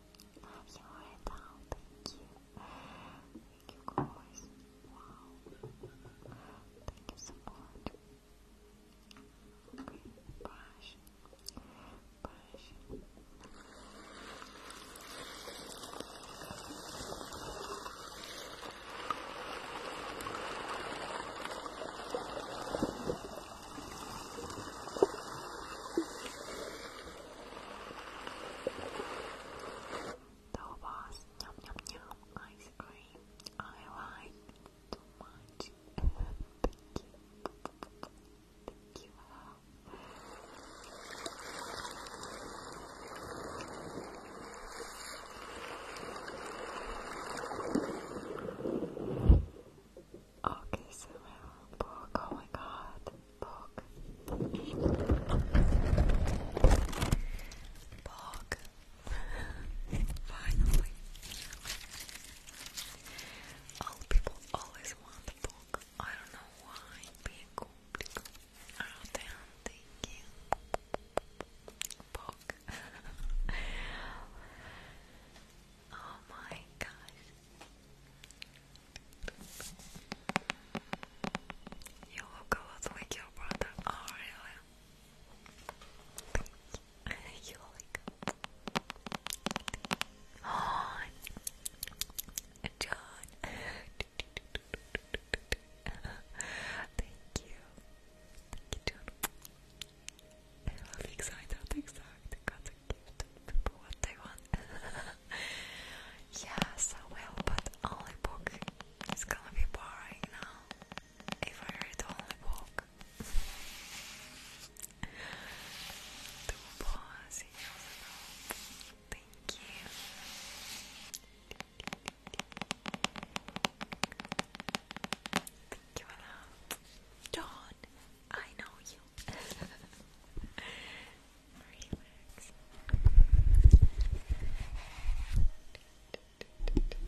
have your head down, thank you. Thank you guys. Wow. Thank you so much. Okay, there was yum yum yum ice cream. I like too much. Thank you. Thank you. Okay, so my book. Oh my god, book. Book. Finally. All people always want a book. I don't know why. Being complicated. Out there, thank you. Book. Oh my gosh. You look a lot your brother. Oh really? you like Oh John Thank you. Thank you, John. I love excited, excited, got the gift. People what they want. Yes, so well, but only book is gonna be boring now if I read only book. Two boys, Thank you. Thank you, John. I know you. Relax. Thank you.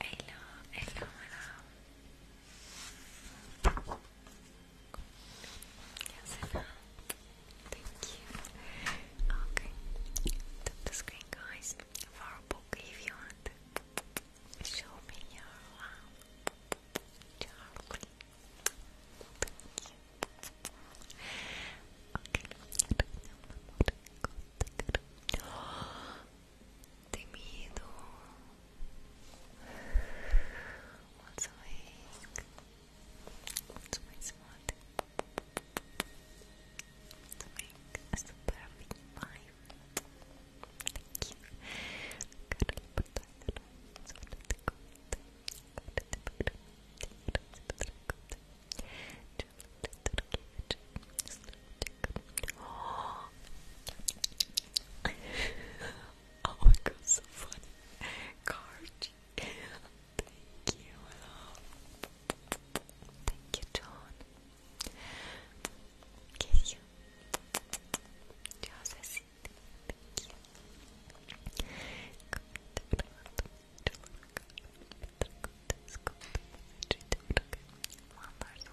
Hello, hello, hello. Yes, I know. Thank you. Okay. Tap the screen, guys, for a book if you want. Show me your wow. Uh, okay temido, thank you, Oh. my god, so funny. Card. Thank you. Thank you, John. Kiss you. Just a seat. Thank you. One person.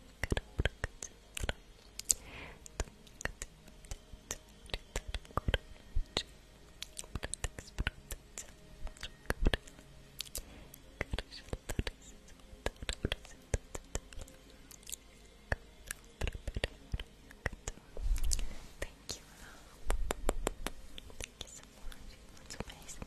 Thank you so much. That's amazing.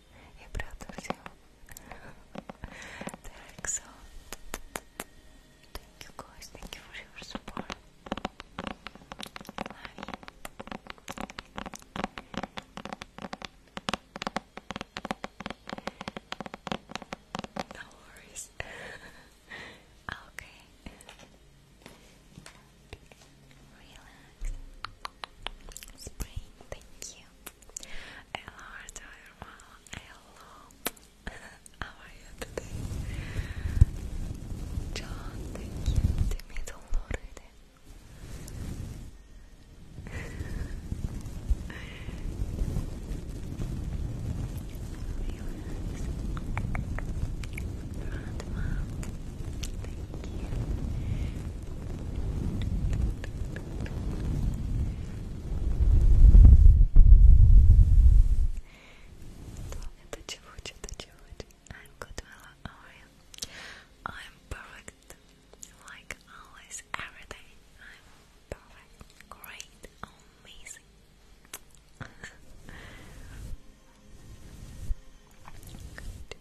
и брату Так, so thank you guys, thank you for your support. No worries. okay. Relax. Spring, thank you. Hello, everyone. Hello. How are you today? thank you. Demir oluruydu. Thank you. Это чего, что-то чего? I'm good, Mela. How are you? I'm perfect, like always, every day. I'm perfect, great, amazing.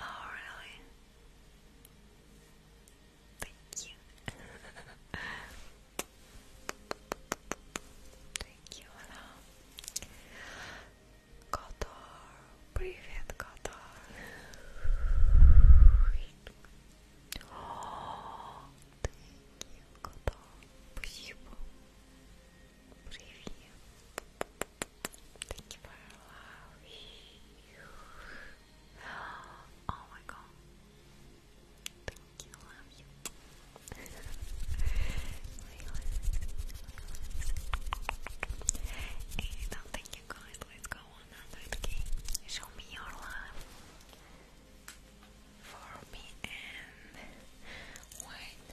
Oh, really? Thank you. Thank you, hello. Привет, Kotor. thank you, Kotor. Спасибо. Привет. Thank you for allowing. Oh my god. Thank you, love you. and thank you guys. Let's go 100k. Show me your love for me and wait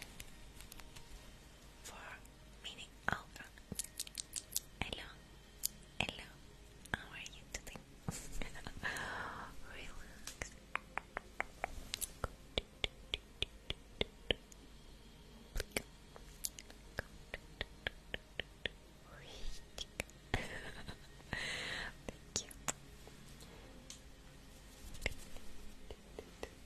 for meeting Alpha. Hello, hello, how are you today? Relax. Thank you.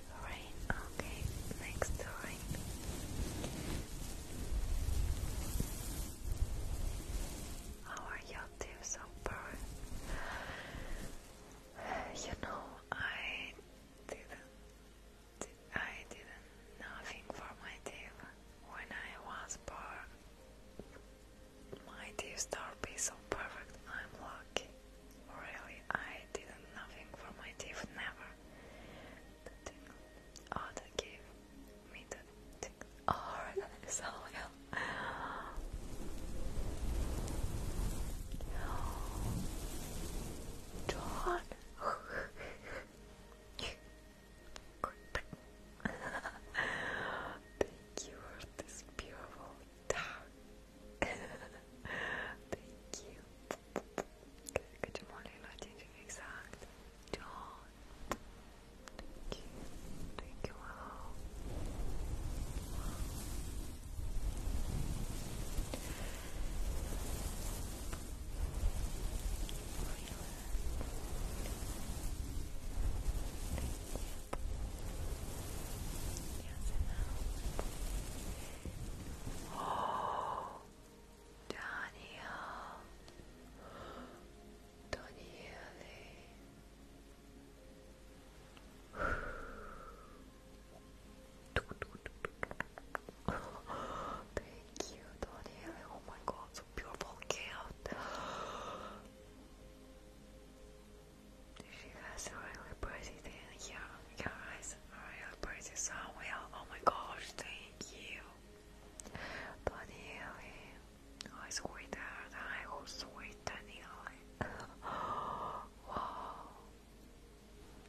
Rain, okay, next to How are you too, Super? You know, I didn't, I didn't nothing for my teeth when I was born. My teeth start be so perfect. I'm lucky. Really, I didn't nothing for my teeth. Never the tingle. Oh, that gave me the tingle. Oh, that is all hell. John. Thank you for this beautiful town. Thank you. Kötü Molly Latifi gesagt. John. Thank you. Thank you oh, Daniel, Daniele. Thank you, Daniele. Oh my God, so beautiful gift. She has really pretty thing. Yeah, yeah, Ariel Pretty Samuel. Oh my gosh, thank you. Daniele. Oh, sweetheart. I oh, sweet Daniele. wow.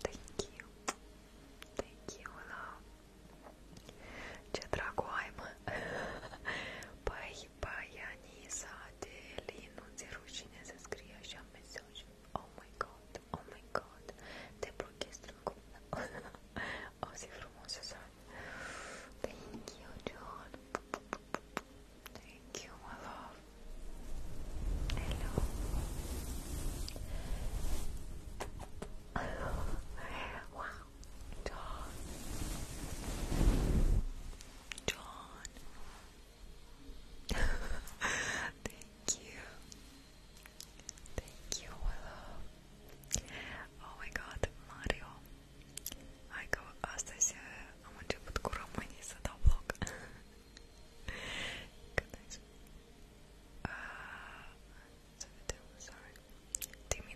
Thank you. Thank you, love. Ce dragoaimă. Păi, Baianisa de Linu, ți rușine să scrie așa mesaj. Oh my god. Oh my god, te blochezi strângul. O zi frumoasă Thank you, John. Thank you, my love. Hello. wow, John. John. Thank you. Thank you, Willow. Oh my god, Mario. Aiko, astăzi ah, am început cu românii să dau vlog. uh, să vedem, sorry. thank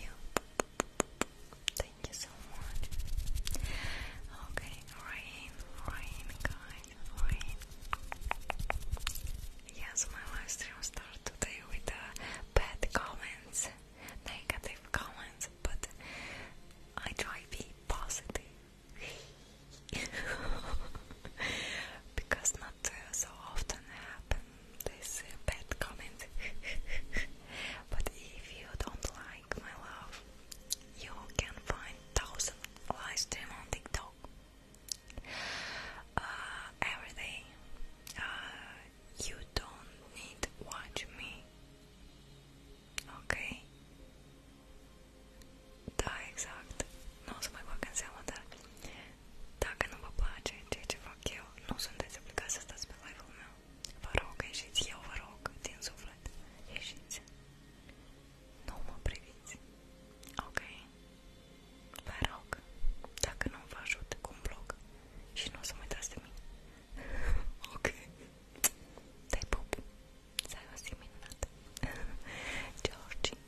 you. Thank you so much. Okay, rain, rain, guys, rain. Yes, my live stream today with uh, bad comments, negative comments, but I try be positive. because not uh, so often happens this uh, bad comment. but if you don't like my love, you can find thousand live on TikTok uh, every day. Uh, you don't need watch me. Okay. Да, exact. Nu o să mai bag în seama, dar dacă nu vă place ceea ce fac eu, nu sunteți obligați să stați Vă rog, ieșiți, eu vă rog, din suflet, ieșiți. Nu mă priviți. Ok? Vă rog, dacă nu vă ajut cu un blog și nu o să mă uitați de mine. ok? Te pup. Să ai o zi minunată. Georgie,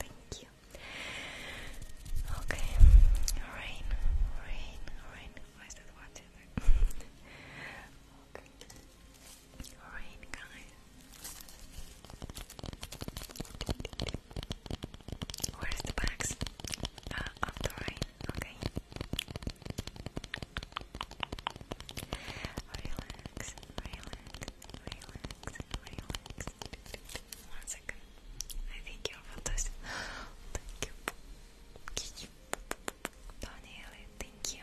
thank you. Ok, rain, rain, rain. Where's the bags? Uh, up the right, okay. Relax, relax, relax, relax. One second. I think you're Thank you thank you. Thank you,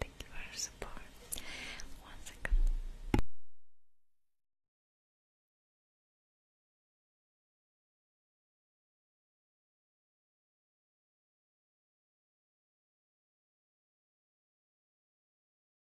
Thank you for your support. One second.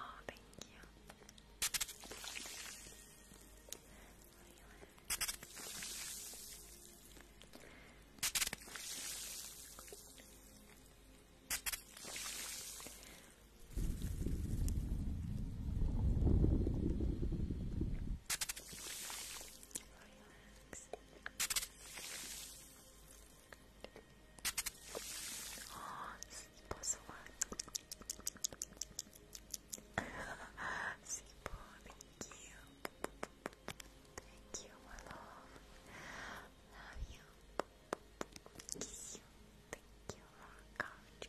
Oh, thank you. Thank Oh, thank you. Thank you, my love. Love you. Kiss you. Thank you, Rock.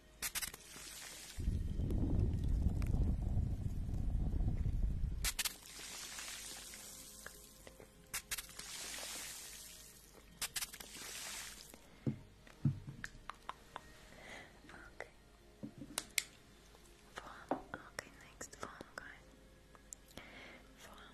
Okay. Form. Okay, next form, guys. Form.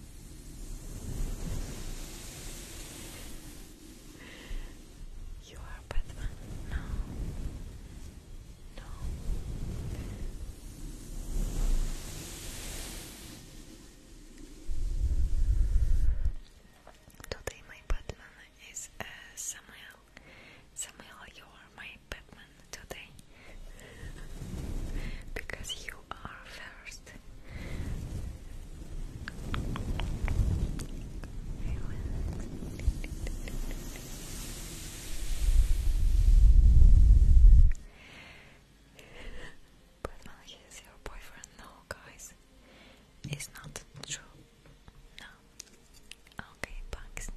You are Batman? No. No. Today my Batman is uh, Samuel. Samuel, you are my Batman today because you are first. but is your boyfriend? No, guys, it's not true. No. Okay, bugs.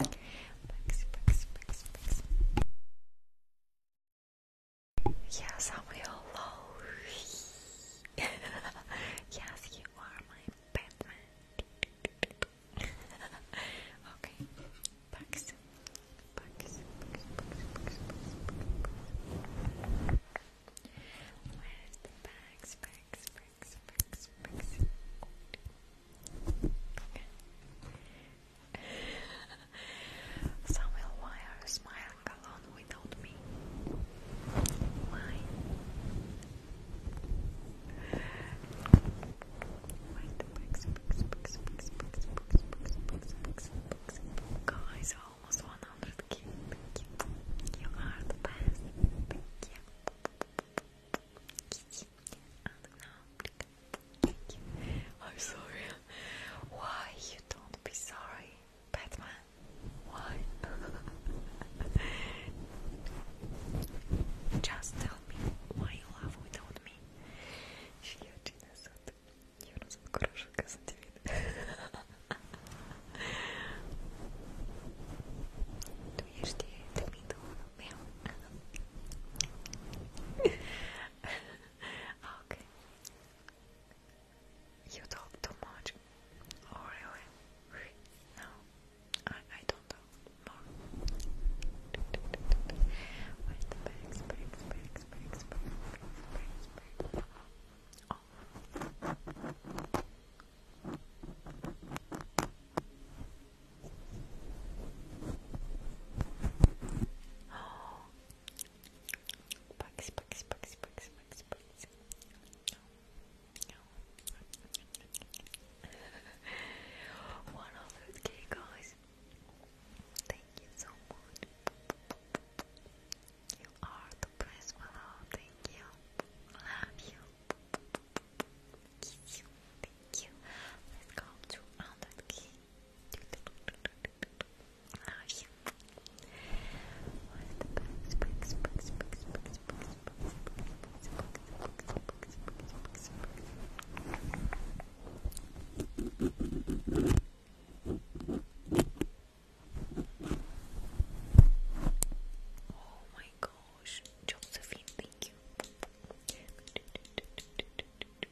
Bugs, bugs, bugs, Yes, I'm your Lowry. yes, you are my Batman. okay, bugs. Bugs, bugs, bugs, bugs, some will wire smiling alone without me. Why? Wait, books, books, books, books, books, books, books, books, books, books, guys, almost 100k. Thank you. You are the best. Thank you. And now, Thank you. I'm sorry. Why you don't be sorry, Batman? Why? Just tell me why you love without me. you see the middle? Yeah. okay. You talk too much. Oh, really? No, I I don't talk Bugs, bugs, guys. Thank you so much. You are the best fellow. Oh, thank you. Love you. Kiss you. Thank you. Let's go to 100k. Oh my gosh, Josephine, thank you.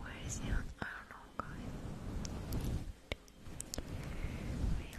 Where is your I don't know going? Relax.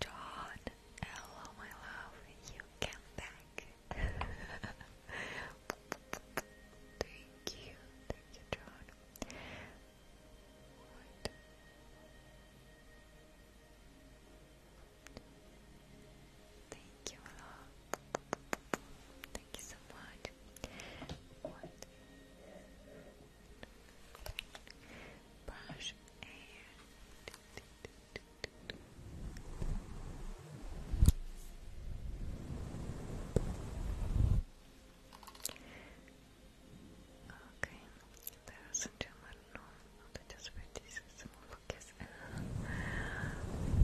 John, hello my love, you came back. thank you, thank you, John. Thank you, hello. Thank you so much brush and okay, there too much room, I'll just reduce some focus Okay,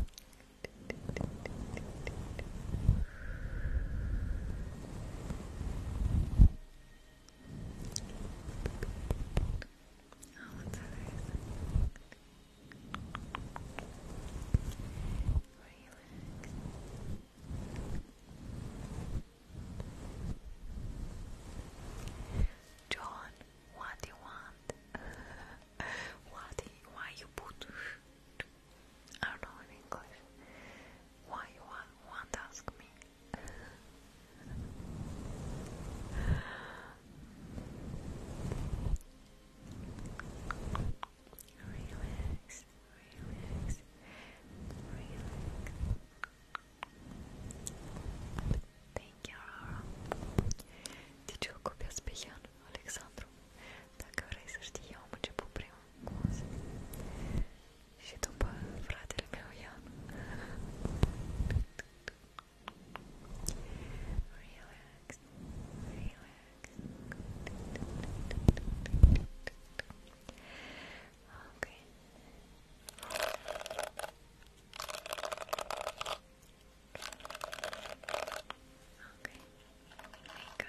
Oh, what's others? Relax. John, what do you want? what? Do you, why you put? I don't know in English. Why you want? Want ask me? relax, relax, relax. Thank you. Ti gioco più spiegano, Alexandru, dacă vrei să știi, eu am început prima cu Și după fratele meu Ian Relax, relax Ok Okay, wake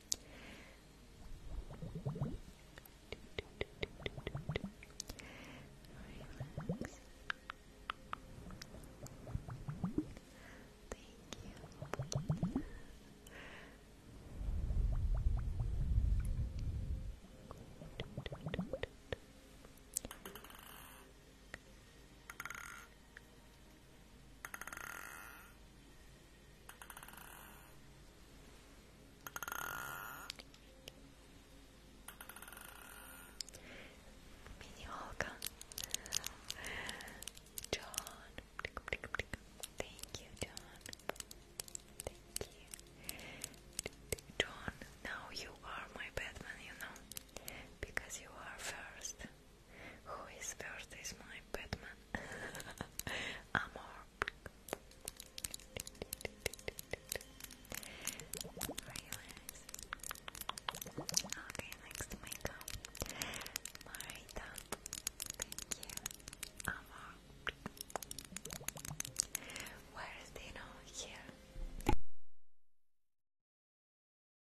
Relax. Thank you. Good. Minioka John Thank you John Thank you John now you are my Batman you know because you are first who is first is my Batman. Amor. Okay, next makeup. Marita. Thank you. Amor. Where is Dino? Here.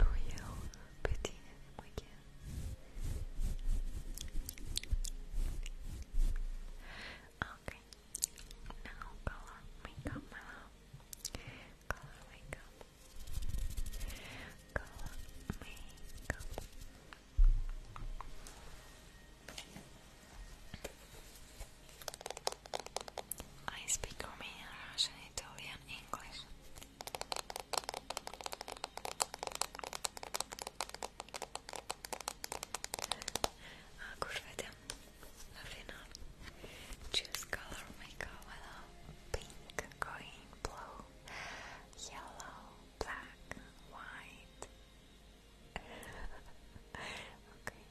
Noël petit weekend. Okay, now color makeup, my love. Color makeup. Color makeup. Okay. I speak Romanian, Italian, English. A kurwa tam na Choose color, make a yellow, pink, green, blue, yellow, black, white. okay.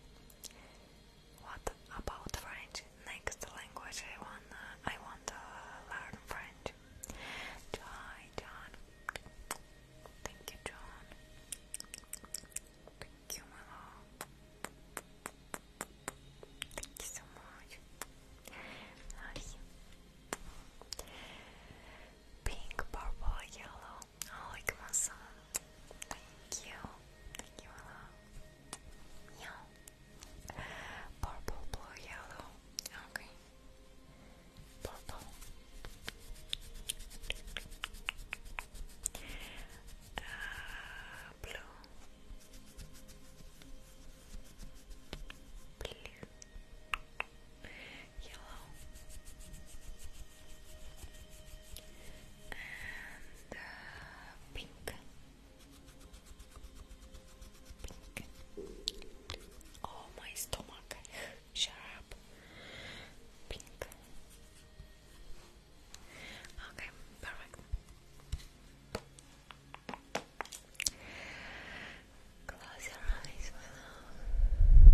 What about French? Next language I want uh, I want uh, learn French. Hi John. Thank you John. Thank you my Thank you so much. Love Pink, purple, yellow. Oh, Ikuma-san. Thank you. Thank you a Yeah. Purple, blue, yellow. Okay. Purple. Uh, blue. Blue. Yellow and uh, pink, pink. Oh my stomach! Shut up. Pink. Okay, perfect. Close your eyes for now.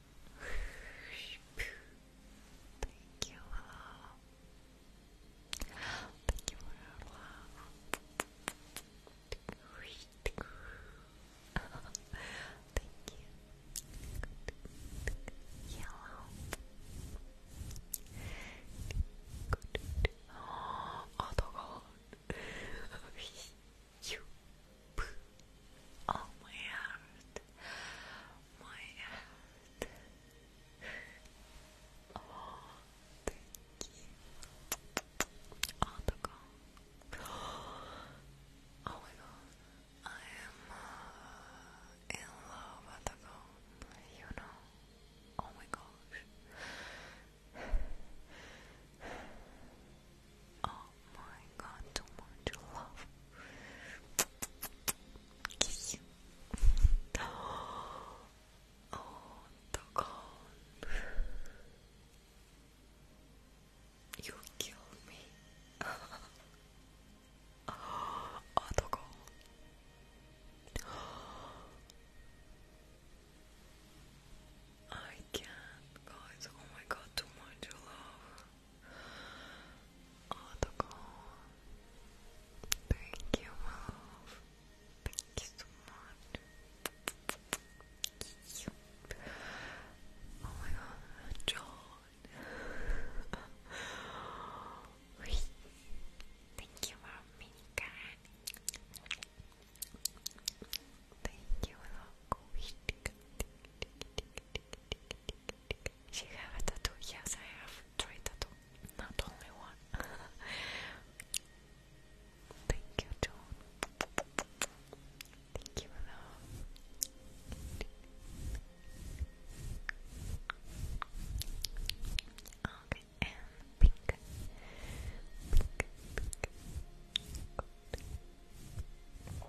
Thank you, hello. Thank you for your love. Thank you. Yellow. Good. Oh, all you oh my heart my heart oh thank you oh oh my god I am uh, in love with you know oh my gosh Oh my god, too much love. Kiss. Oh, doggone. You killed me. oh, doggone. I can't, guys. Oh my god, too much love. Oh, the goal. Thank you, love. Thank you so much. Oh my god, John. Thank you for me, Karen. Thank you, She have a tattoo? Yes, I have three tattoo. Not only one. Thank you, John. Thank you, love. Okay,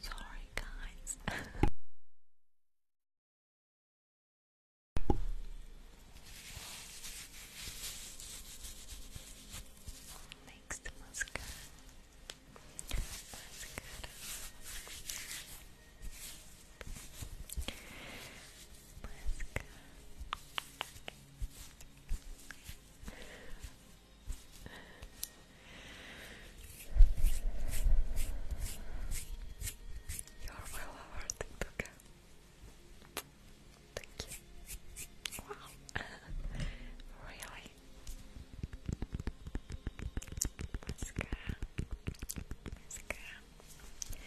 Sorry, guys. likes the mascara. Mascara. Mascara. You're well awarded, okay? Thank you. Wow. really? Mascara. Mascara.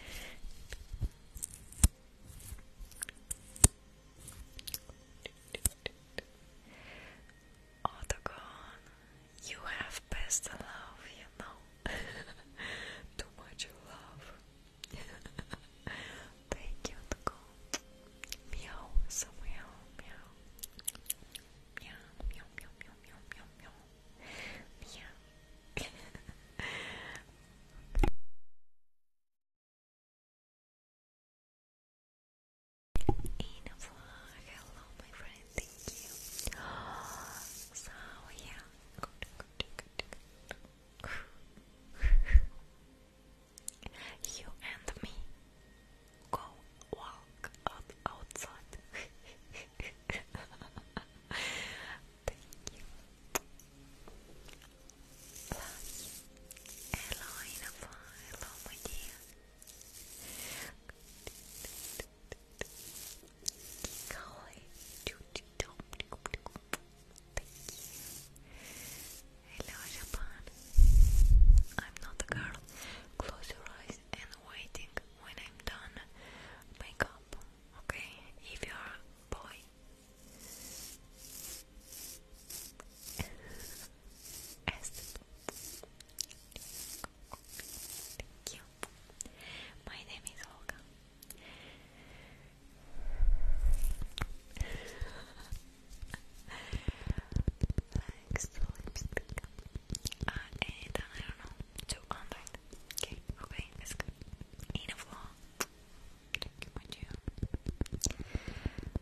Autogon, you have best love, you know. Too much love. Very cute girl. Meow, so meow, meow. Meow, meow, meow, meow, meow, meow, meow. Meow. Inafla, hello my friend, thank you. So yeah, good, good, good, good. You and me go walk out outside. Thank you. Love you. Hello, Inafa. Hello, dear. Hello, Japan. I'm not a girl. Close your eyes and waiting when I'm done. Make okay? If you're a boy. Thank you. My name is Olga. Thanks to lipstick. Ah, eh, I don't know, 200. Okay, okay, that's good. Enough law. Thank you,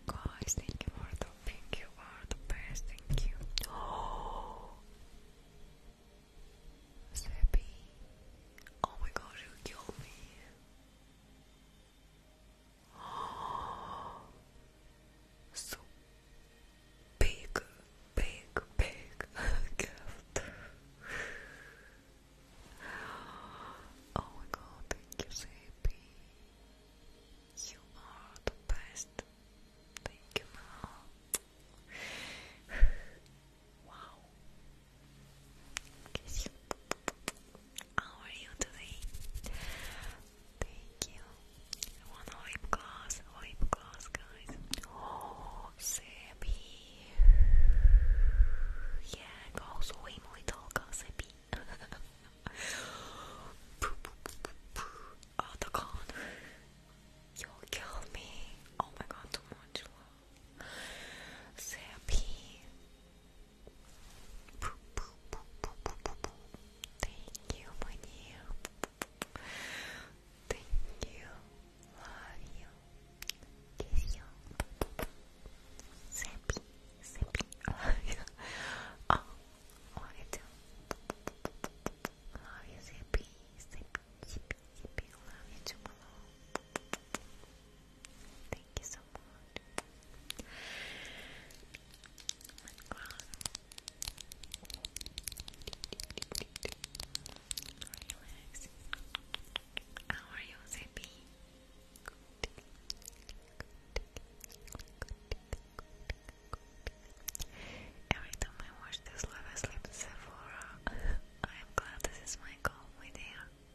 Guys, thank you for the pink. You are the best. Thank you. Oh, Seppi. Oh my god, you killed me so big, big, big gift. Oh my god, thank you, JP. You are the best. Thank you, now. Wow, Kiss you. How are you today? Thank you. I want a lip gloss, lip gloss, guys. Oh, Sebi. Yeah, go swim, little girl, Sebi. oh, the con. You killed me. Oh my god, too much love. Thank you, my dear. Thank you. Love you. Kiss you. Sappy, sappy. Love you. Oh, love you too. Love you, Love you too, my Thank you so much. Relax. How are you, Zippy? Every time I watch this live, I sleep Sephora. I am glad this is my goal with hair.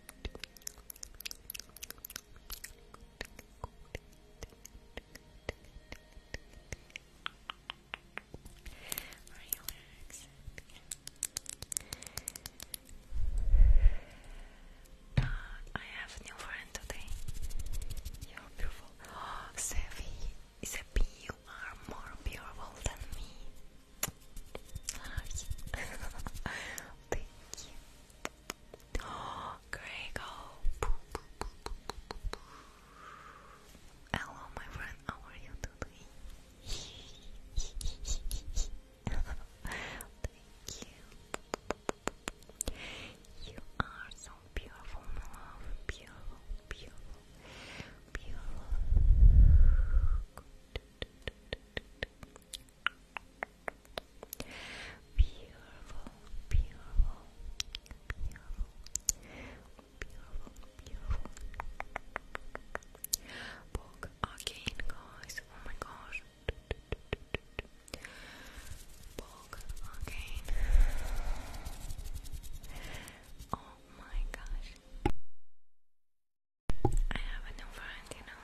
Relax. I have new friend today. You're beautiful. Sevi, Sevi, you are more beautiful than me. Thank you. Oh, Grego. Hello, my friend. How are you doing? you. are so beautiful, Beautiful, beautiful, beautiful. Beautiful, beautiful, beautiful, beautiful, beautiful. Book guys. Oh my gosh. Book Oh my gosh. I have a new friend, you know.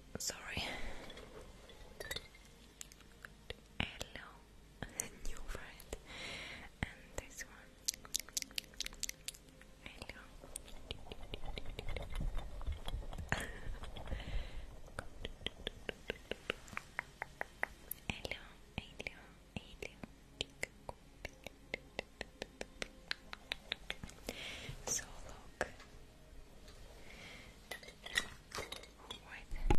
Sorry. Hello, new friend. And this one. Hello. hello, hello, So look, Right.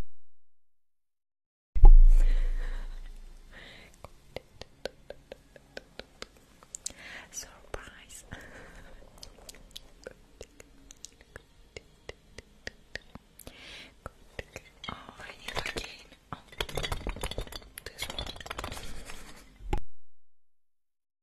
Surprise. Oh, I need again. Oh, this one.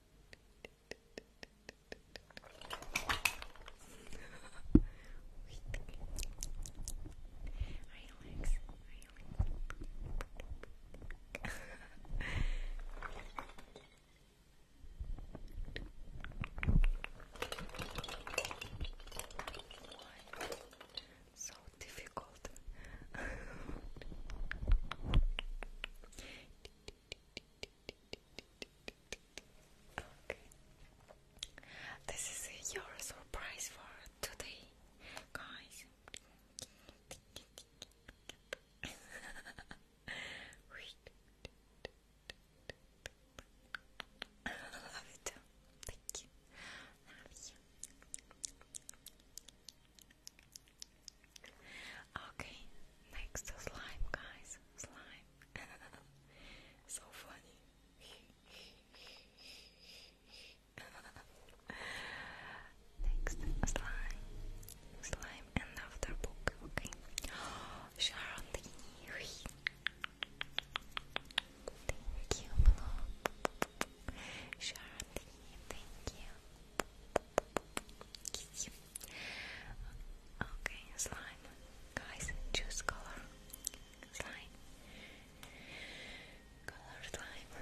Relax, relax. Why? So difficult. This is your surprise for today, guys. love it Thank you. Okay, next slime, guys. Slime. so funny. next slime. Slime and after book. Okay. Sharon Thank you, Blue. thank you. Okay, slime. Guys, choose color. Slime. Color slime.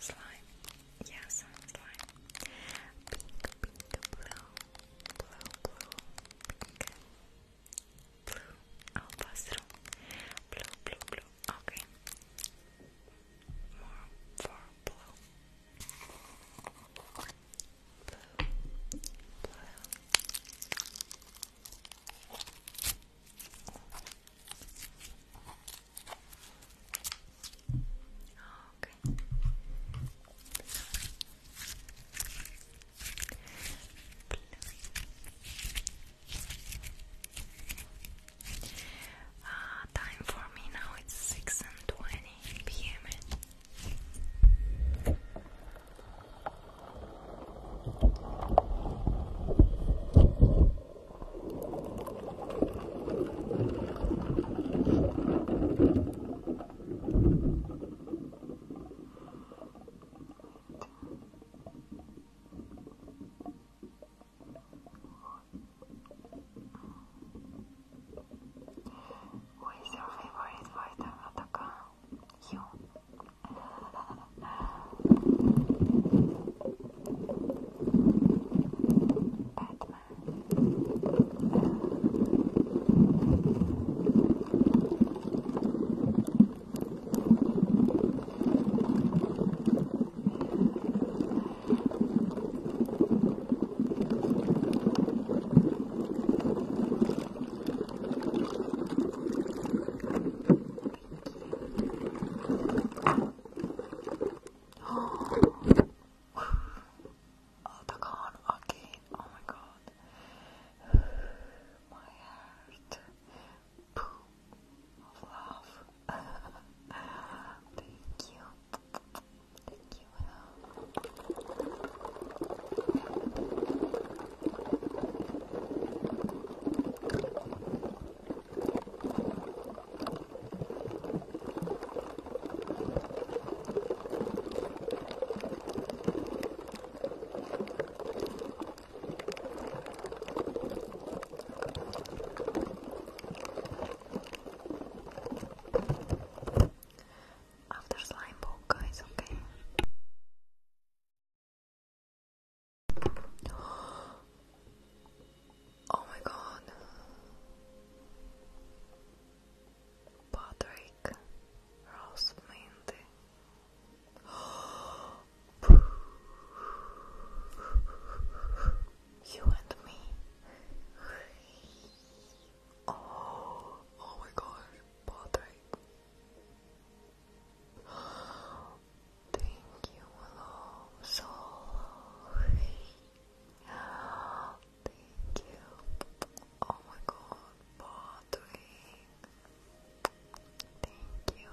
Slime. Yes, slime. Pink, pink, blue, blue, blue, pink blue. I'll pass through. Blue, blue, blue. Okay. More for blue. Blue, blue. Okay. Blue. Uh, time for me now it's 6 p.m. What is your favorite vitamin attacker? You. Batman. Oh, oh the con again. Okay. Oh my god. My heart pool love. Thank you. Thank you, after slime guys, okay. Oh my god. Patrick Rose you and me. Oh, oh my gosh, Patrick. Thank you, hello, so Thank you. Oh my god, Patrick. Thank you.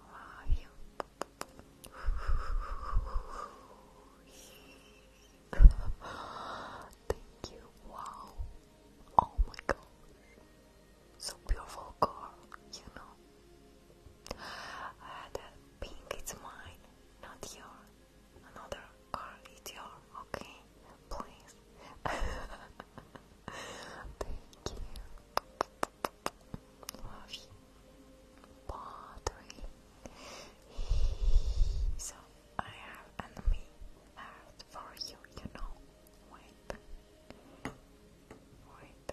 Love you. Thank you. Wow. Oh my god. So beautiful car, you know. Uh, that pink it's mine, not yours. Another car it's yours, okay? Please. Thank you. Love you. Pottery. So I have enemy left for you, you know. Wait. Wait.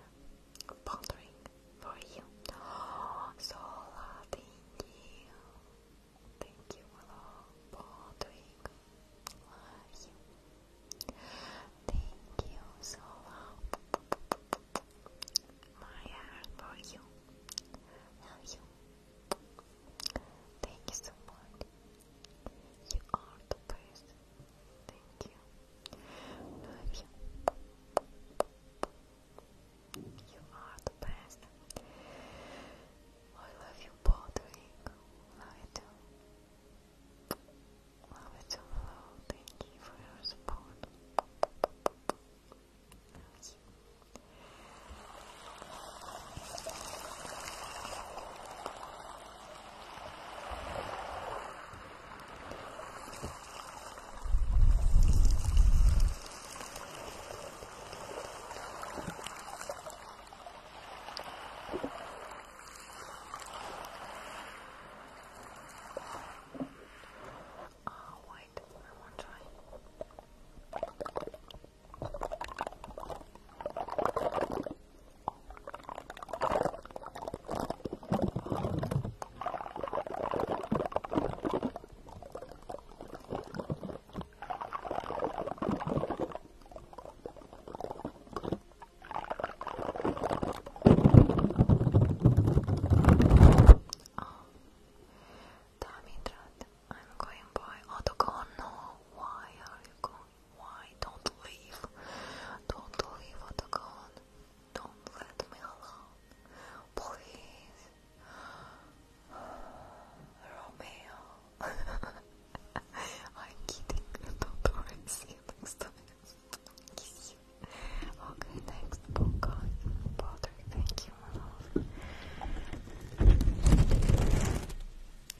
Pottery for you. Oh, thank you. Thank you, hello. Love you. Thank you, Zola. My heart for you. Love you. Thank you so much. You are the best. Thank you. Love you. You are the best. I love you, Patrick. Love it so hello. Thank you for your support. Ah, oh, wait, I won't try. Oh, damn I'm going by gone? No, why are you going? Why? Don't leave. Don't leave, gone? Don't let me alone. Please. Romeo. Okay, next book on Thank you, my love.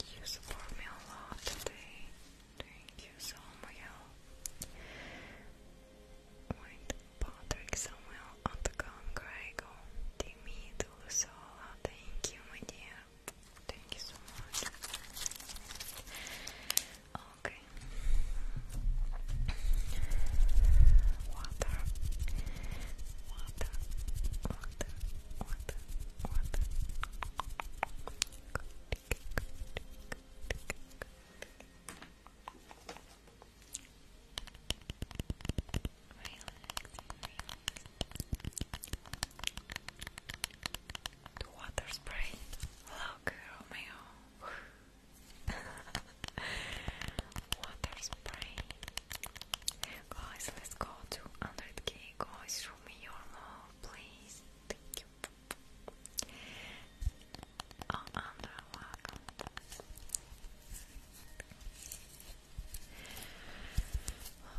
You support me a lot today. Thank you so much. Wait, Patrick Samuel Antagon Grego Dimi Dulusola, thank you my dear Thank you so much. Okay. Water. Water. Water. Water. Water. The water spray. Look, Romeo. water spray. Guys, let's go to 100k. Guys, show love, please. Thank you. Oh, Andra, welcome.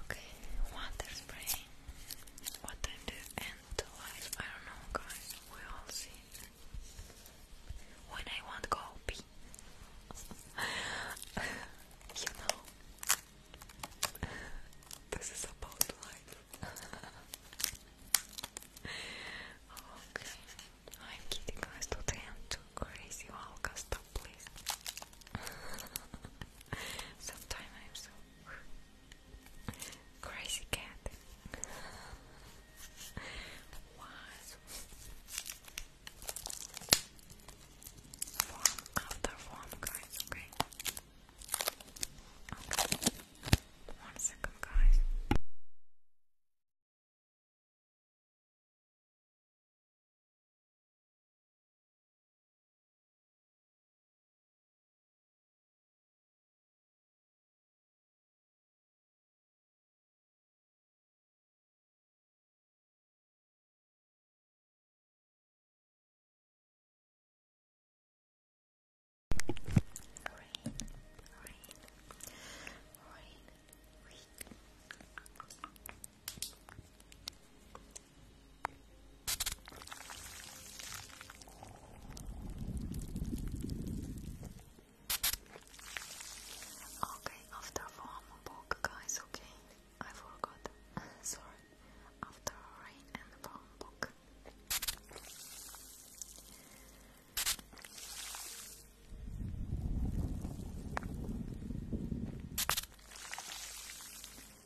Okay, water spray. What time do you the life? I don't know, guys. We all see. When I want go pee. you know. This is about life. okay. I'm kidding, guys. Today I'm too crazy. Olga, stop, please. Sometimes I'm so Crazy cat. Was form after form, guys. Okay. Okay. One second, guys. Rain, rain, rain, rain. Okay, after warm book, guys, okay? I forgot. Sorry. After rain and warm book.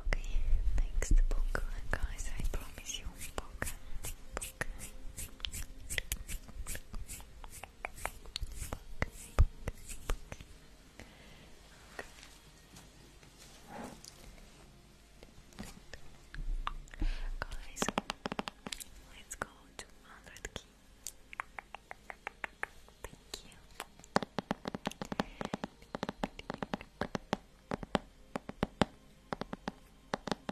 Okay, next book, guys. I promise you, book, book. Guys, let's go to 100k. Thank you.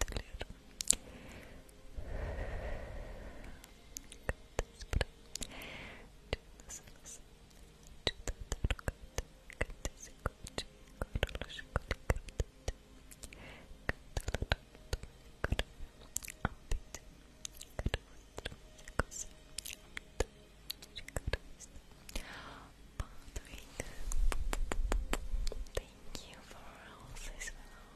Thank you for all this.